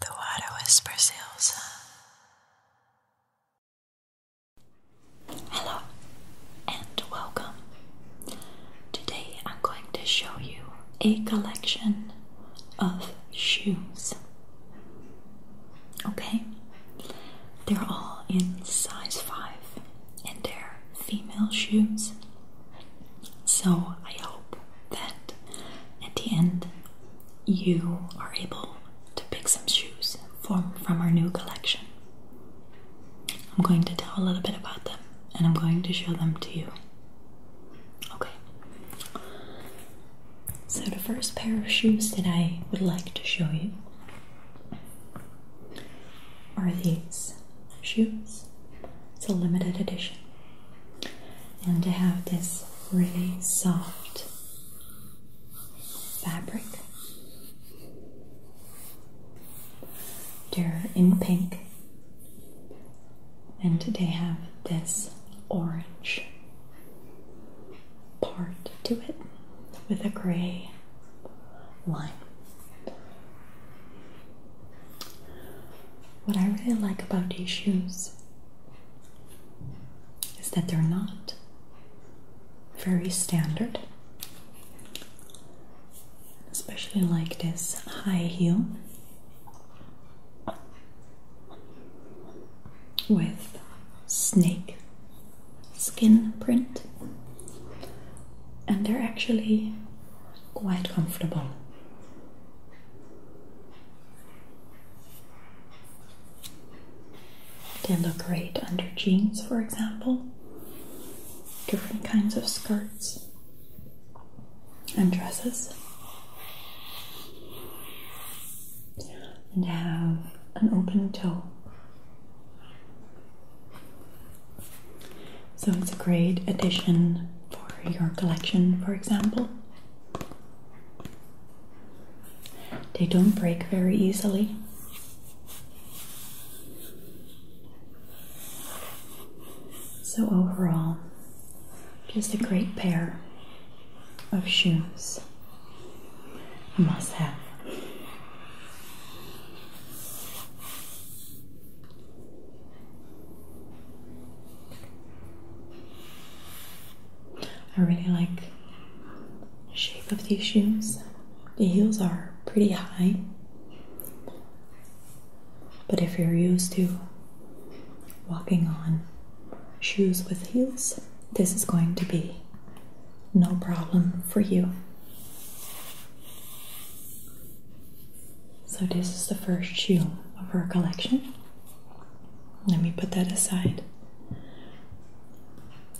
The water whispers, Elsa. Hello and welcome. Today I'm going to show you a collection of shoes. Okay? They're all in size 5 and they're female shoes. So I hope that at the end you are able to pick some shoes from, our new collection. I'm going to tell a little bit about them and I'm going to show them to you. Okay. So, the first pair of shoes that I would like to show you are these shoes. It's a limited edition. And they have this really soft fabric. They're in pink. And they have this orange part to it with a gray line. What I really like about these shoes is that they're not very standard, especially like this high heel with snake skin print, and they're actually quite comfortable. They look great under jeans, for example, different kinds of skirts and dresses. And have an open toe. So it's a great addition for your collection, for example. They don't break very easily. So, overall, just a great pair of shoes. A must have. I really like the shape of these shoes. The heels are pretty high, but if you're used to walking on shoes with heels, this is going to be no problem for you. So, this is the first shoe of our collection. Let me put that aside.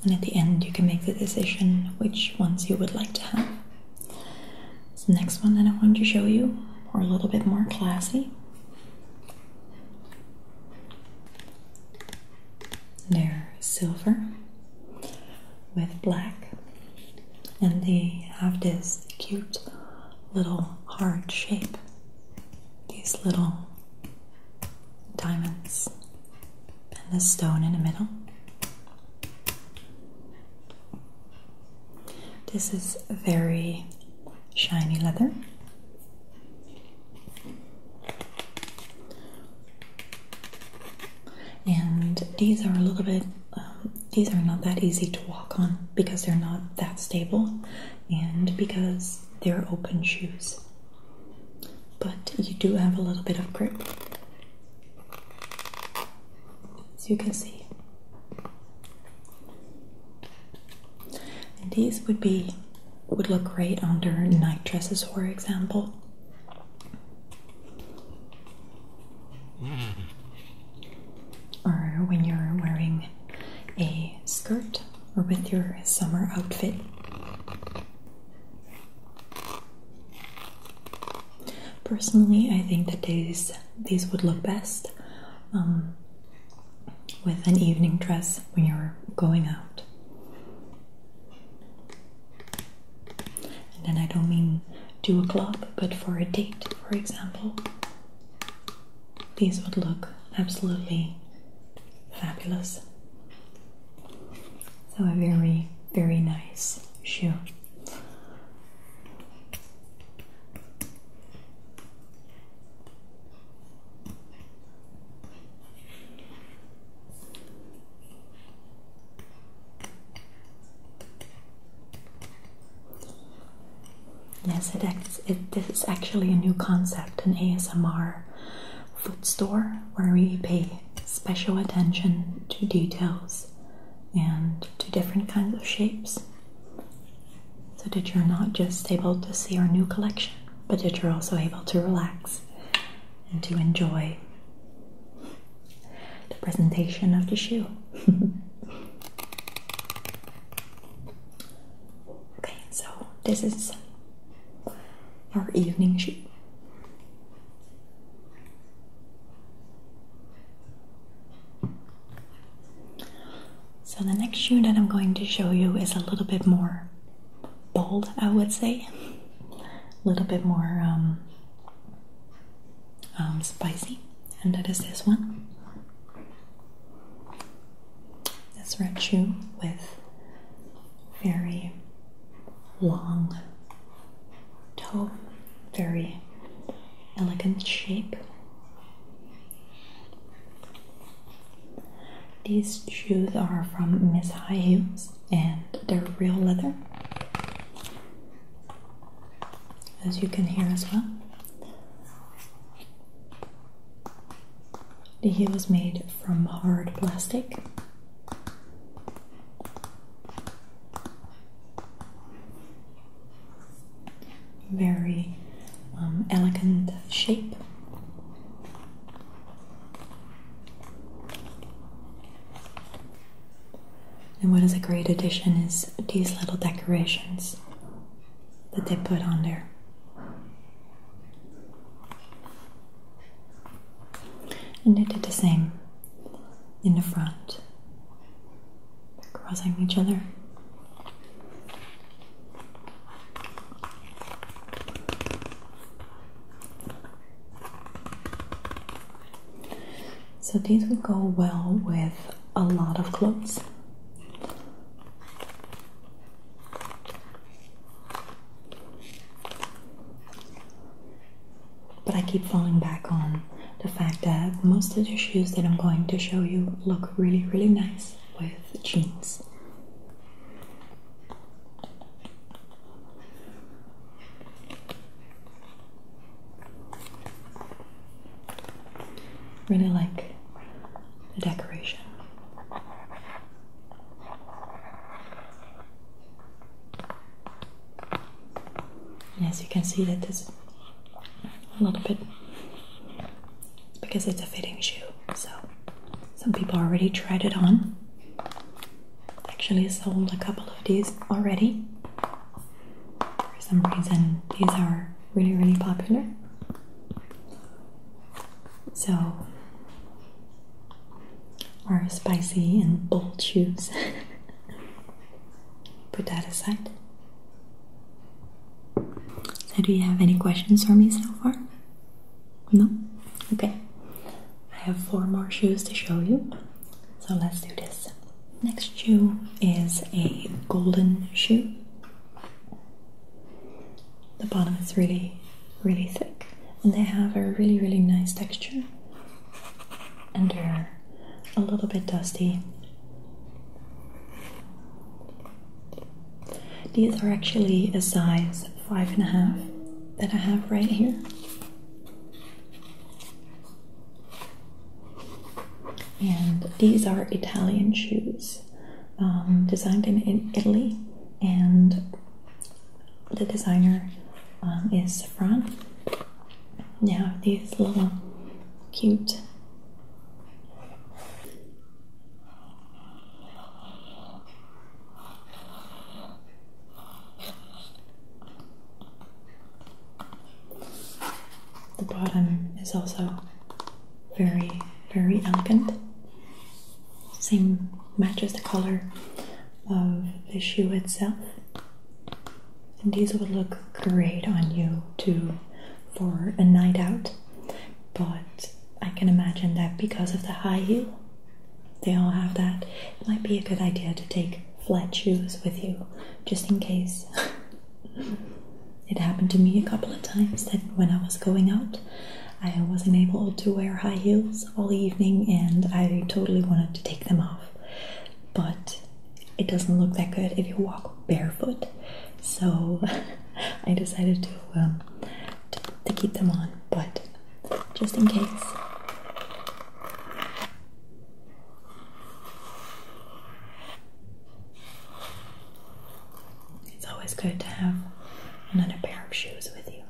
And at the end, you can make the decision which ones you would like to have. So next one that I wanted to show you are a little bit more classy. They're silver with black. And they have this cute little heart shape, these little diamonds, and the stone in the middle. This is very shiny leather. And these are a little bit um, these are not that easy to walk on because they're not that stable and because they're open shoes. But you do have a little bit of grip, as you can see. these would be would look great under night dresses, for example or when you're wearing a skirt or with your summer outfit. Personally, I think that these these would look best um, with an evening dress when you're going out. And then I don't mean two o'clock, but for a date, for example. These would look absolutely fabulous. So, a very, very nice shoe. Yes, it, this is actually a new concept, an ASMR food store where we pay special attention to details and to different kinds of shapes so that you're not just able to see our new collection, but that you're also able to relax and to enjoy the presentation of the shoe. okay, so this is our evening shoe. So, the next shoe that I'm going to show you is a little bit more bold, I would say. A little bit more um, um, spicy, and that is this one. This red shoe with very long toe, very elegant shape. These shoes are from Miss High and they're real leather, as you can hear as well. The heel is made from hard plastic. Very um, elegant shape. And what is a great addition is these little decorations that they put on there. And they did the same in the front, crossing each other. So these would go well with a lot of clothes. But I keep falling back on the fact that most of the shoes that I'm going to show you look really, really nice with jeans. Really like the decoration. as you can see that is a little bit because it's a fitting shoe. So some people already tried it on actually sold a couple of these already. For some reason, these are really, really popular. So, our spicy and bold shoes. Put that aside. So, do you have any questions for me so far? No? Okay. I have four more shoes to show you. So let's do this. Next shoe is a golden shoe. The bottom is really, really thick, and they have a really, really nice texture. And they're a little bit dusty. These are actually a size five and a half, that I have right here. And these are Italian shoes um, designed in, in, Italy, and the designer um, is Safran. Now, these little cute the bottom is also very, very elegant. Same matches the color of the shoe itself. And these would look great on you too for a night out. But I can imagine that because of the high heel, they all have that. It might be a good idea to take flat shoes with you just in case. it happened to me a couple of times that when I was going out, I wasn't able to wear high heels all evening and I totally wanted to take them off. But it doesn't look that good if you walk barefoot. So I decided um, to, to keep them on, but just in case. It's always good to have another pair of shoes with you.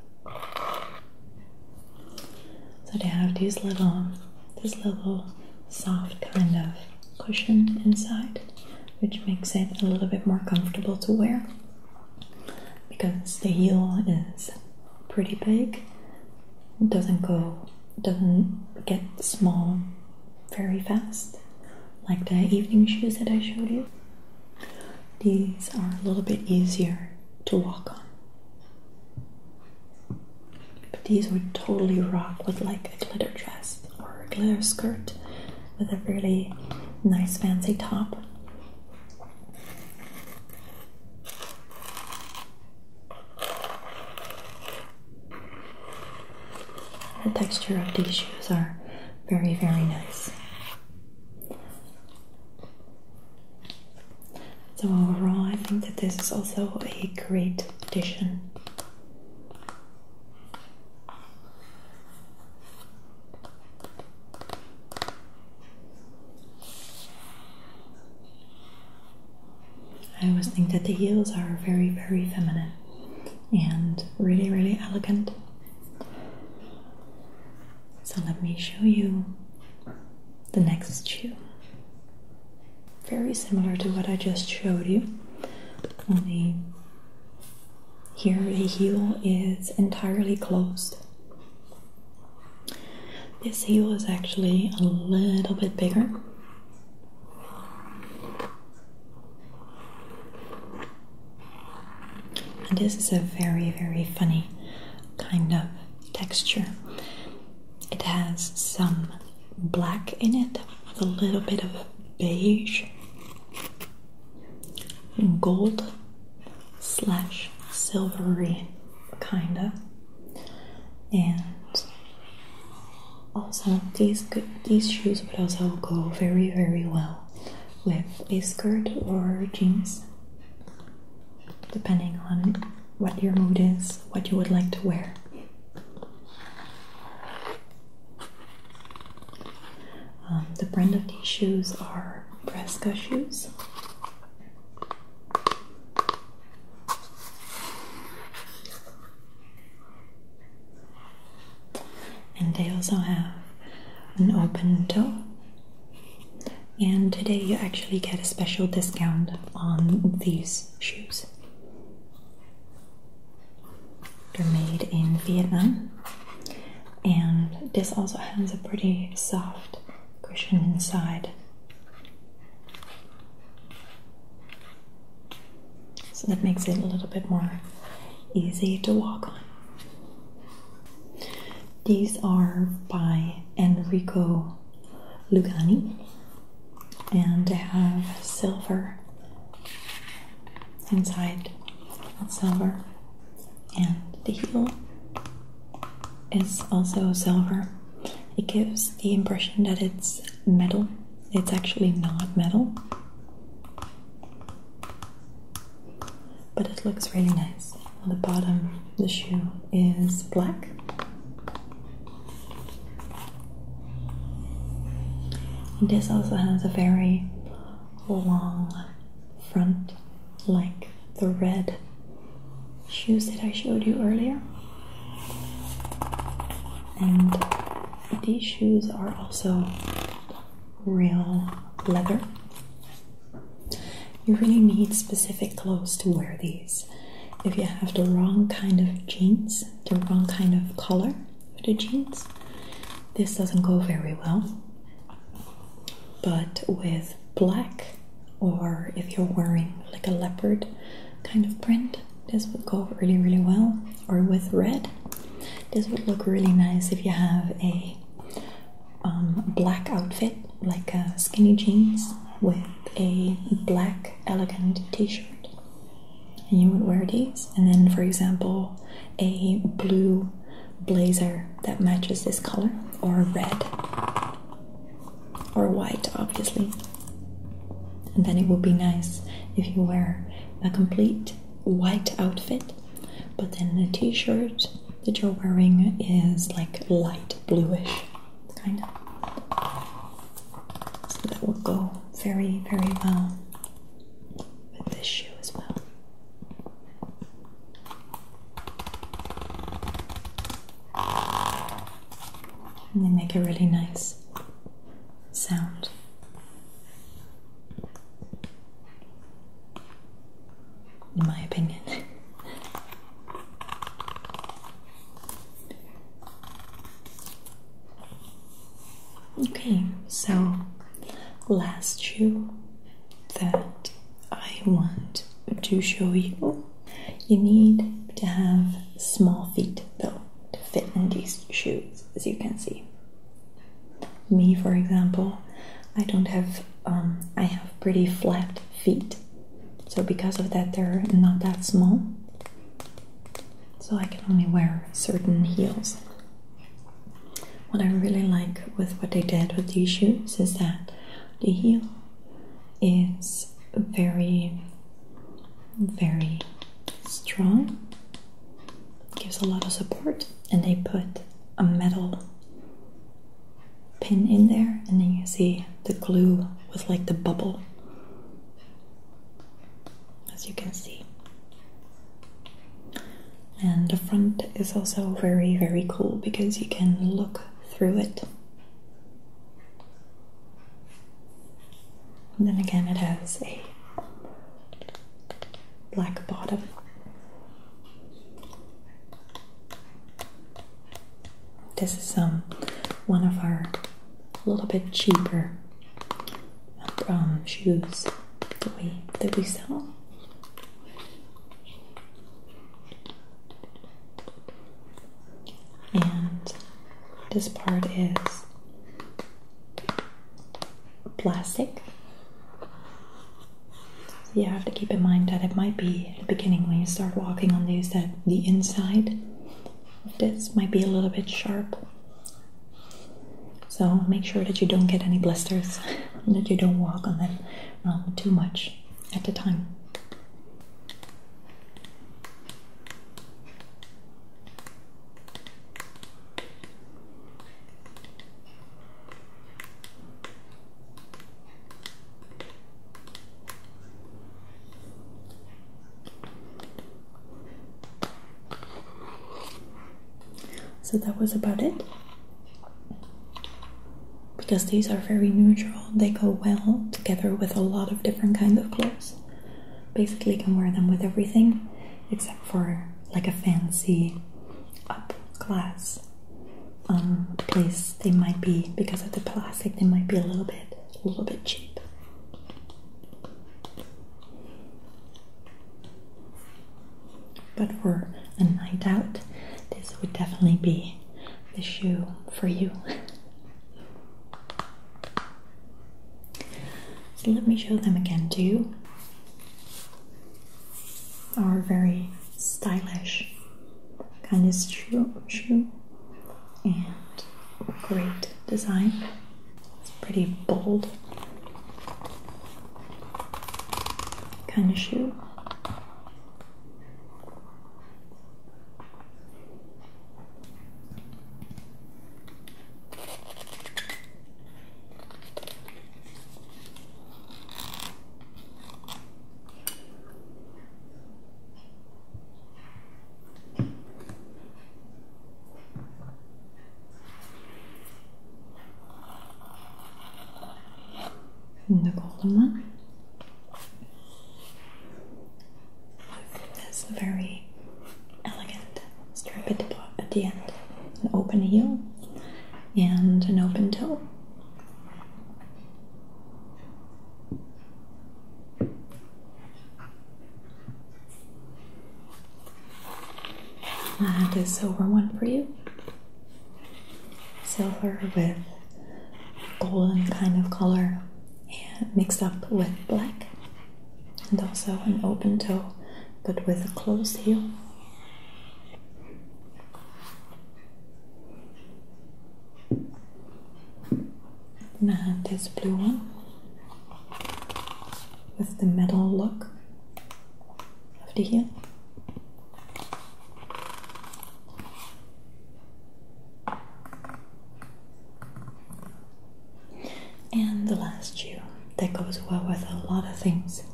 So to have these little, this little soft kind of cushion inside, which makes it a little bit more comfortable to wear because the heel is pretty big, it doesn't go, doesn't get small very fast, like the evening shoes that I showed you. These are a little bit easier to walk on. But these would totally rock with like a glitter dress or a glitter skirt with a really nice fancy top. The texture of these shoes are very, very nice. So, overall, I think that this is also a great addition I always think that the heels are very, very feminine and really, really elegant. So, let me show you the next shoe. Very similar to what I just showed you, only here, the heel is entirely closed. This heel is actually a little bit bigger. And this is a very, very funny kind of texture. It has some black in it with a little bit of beige gold slash silvery kinda and also these good, these shoes would also go very very well with a skirt or jeans depending on what your mood is what you would like to wear um, the brand of these shoes are Presca shoes. And they also have an open toe. And today you actually get a special discount on these shoes. They're made in Vietnam, and this also has a pretty soft cushion inside. So that makes it a little bit more easy to walk on. These are by Enrico Lugani and they have silver inside not silver and the heel is also silver it gives the impression that it's metal it's actually not metal but it looks really nice on the bottom the shoe is black this also has a very long front, like the red shoes that I showed you earlier. And these shoes are also real leather. You really need specific clothes to wear these. If you have the wrong kind of jeans, the wrong kind of color, for the jeans. This doesn't go very well, but with black, or if you're wearing like a leopard kind of print, this would go really, really well. Or with red, this would look really nice if you have a um, black outfit, like skinny jeans with a black elegant t shirt you would wear these and then for example a blue blazer that matches this color or red or white obviously and then it would be nice if you wear a complete white outfit but then the t-shirt that you're wearing is like light bluish kind of that would go very very well with this shoe as well. they make a really nice sound. In my opinion, Okay, so last shoe that I want to show you, you need to have small feet though to fit in these shoes, as you can see. Me, for example, I don't have, um, I have pretty flat feet, so because of that, they're not that small so I can only wear certain heels. What I really like with what they did with these shoes is that the heel is very, very strong, gives a lot of support, and they put a metal pin in there, and then you see the glue with like the bubble as you can see. And the front is also very, very cool because you can look through it. then again, it has a black bottom. This is um, one of our a little bit cheaper and, um, shoes that we that we sell. And this part is plastic. So you have to keep in mind that it might be at the beginning when you start walking on these that the inside this might be a little bit sharp. So make sure that you don't get any blisters that you don't walk on them um, too much at a time. So that was about it. Because these are very neutral, they go well together with a lot of different kinds of clothes. Basically, you can wear them with everything except for like a fancy up class um, place. They might be because of the plastic, they might be a little bit a little bit cheap. But for a night out, this would definitely be the shoe for you. so let me show them again to you. Are very stylish kind of shoe, shoe and great design. It's pretty bold kind of shoe. And the golden one. That's very elegant strip at at the end. An open heel and an open toe. And uh, a silver one for you. Silver with golden kind of color mixed up with black. And also an open toe but with a closed heel. And this blue one with the metal look over here, And the last shoe that goes well with a lot of things,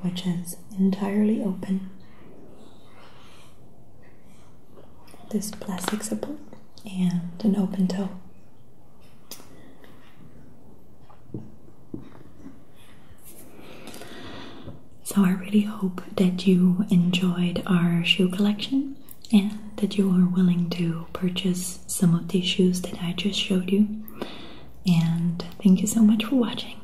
which is entirely open this plastic support and an open toe. So, I really hope that you enjoyed our shoe collection and that you are willing to purchase some of these shoes that I just showed you. And thank you so much for watching.